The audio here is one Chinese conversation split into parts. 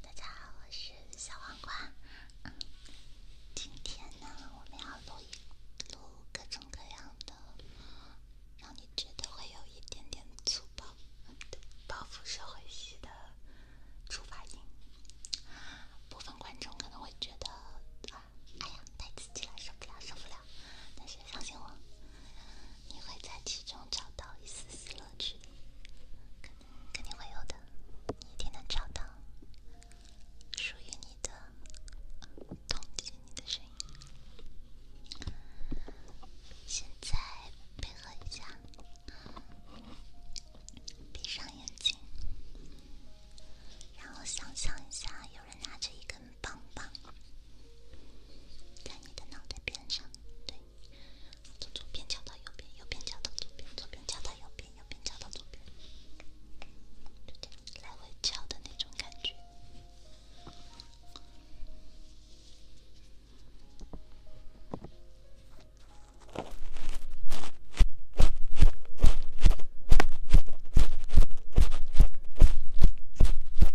大家好，我是小黄瓜。今天呢，我们要录一录各种各样的，让你觉得会有一点点粗暴、报复社会系的触发音。部分观众可能会觉得啊，哎呀，太刺激了，受不了，受不了。但是相信我。你会在其中找到一丝丝乐趣，肯肯定会有的，你一定能找到属于你的、现在配合一下，闭上眼睛，然后想象一下，有人拿着一根棒棒在你的脑袋边上，对。从左边敲到右边，右边敲到左边，左边敲到右边，右边敲到左边，来回敲的那种感觉。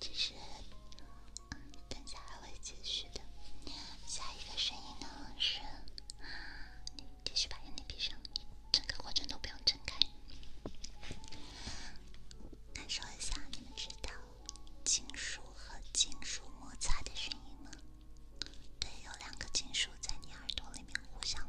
只是，嗯，等下还会继续的。下一个声音呢是，继续把眼睛闭上，整个过程都不用睁开，感受一下。你们知道金属和金属摩擦的声音吗？对，有两个金属在你耳朵里面互相。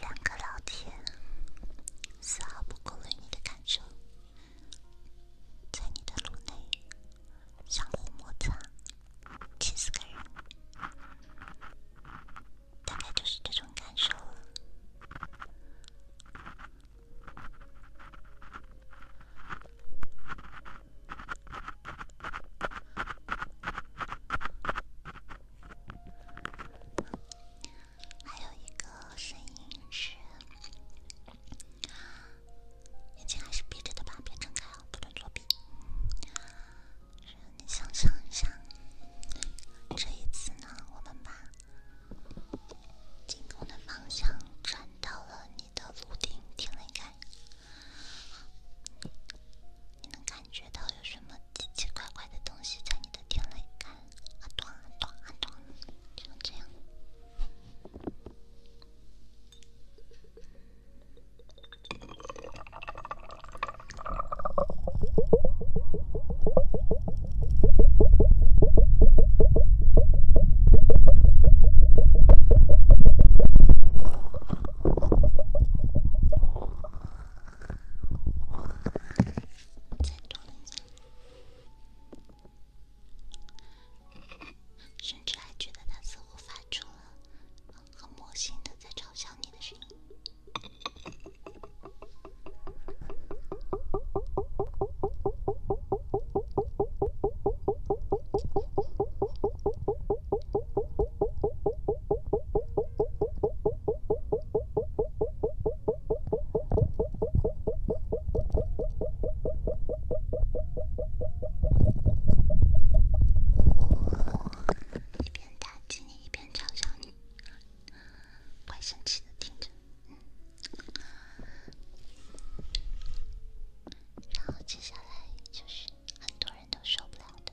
两个老铁，丝毫不顾虑你的感受，在你的颅内相互摩擦，气死个人，大概就是这种感受了。还有一个声音是，眼睛还是闭着的吧，别睁开啊，不准作弊。你想象一下，这一次呢，我们把进攻的方向转到了你的颅顶，听没听？你能感觉到有什么奇奇怪怪的东西在你的听蕾看，啊咚啊咚啊咚，就这样。再多联想，甚至还觉得它似乎发出了很魔性的在嘲笑你的声音。一边打击你，一边嘲笑你，怪生气的，听着。然后接下来就是很多人都受不了的。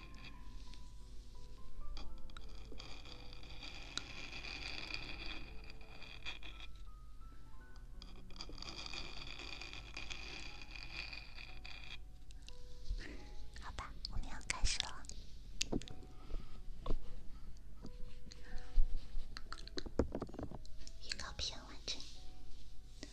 好吧，我们要开始了。预告片完成。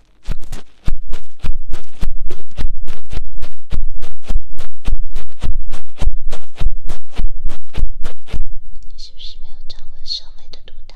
你是不是没有掌握社会的毒打？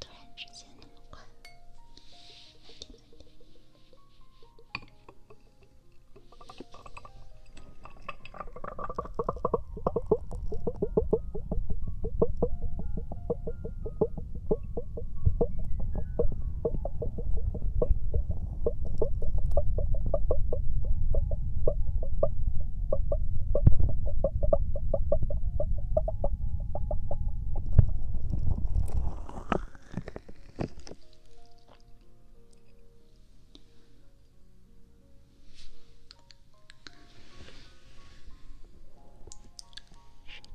突然之间，那么快。睡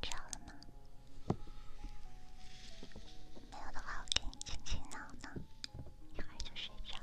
着了吗？没有的话，我给你轻轻挠挠，一会儿就睡着了。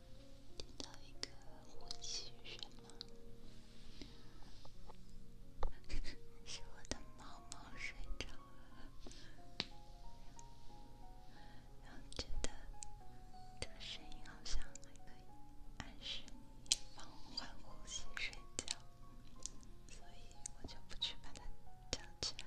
听到一个呼吸声吗？是我的猫猫睡着了，然后觉得这个声音好像还可以安神、放缓呼吸、睡觉，所以我就不去把它叫起来。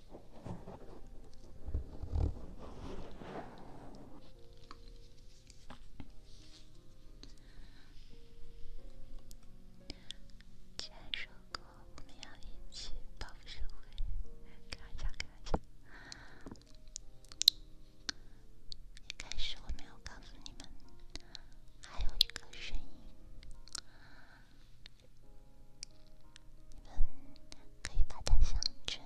之前说过我们要一起报复社会，开玩笑开玩一开始我没有告诉你们，还有一个声音，你们可以把它象征。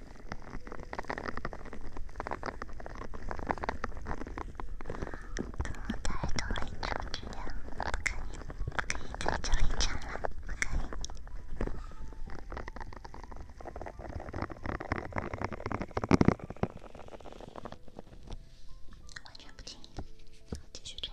我太努力挣钱，不可以，不可以在这里挣了，不可以。完全不经意，继续挣。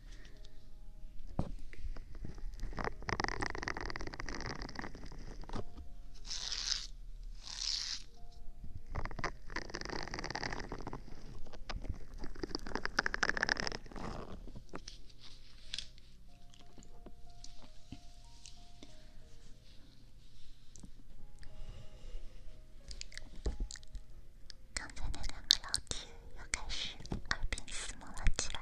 刚才那两个老铁。又开始耳鬓厮磨了起来。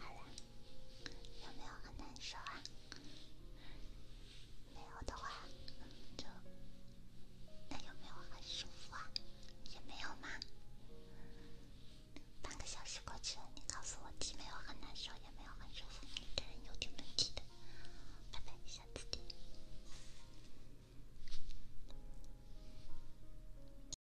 好了，有没有很难受啊？没有的话，就那有没有很舒服啊？也没有吗？半个小时过去了，你告诉我既没有很难受，也没有很舒服，你这人有点问题的。拜拜，下次见。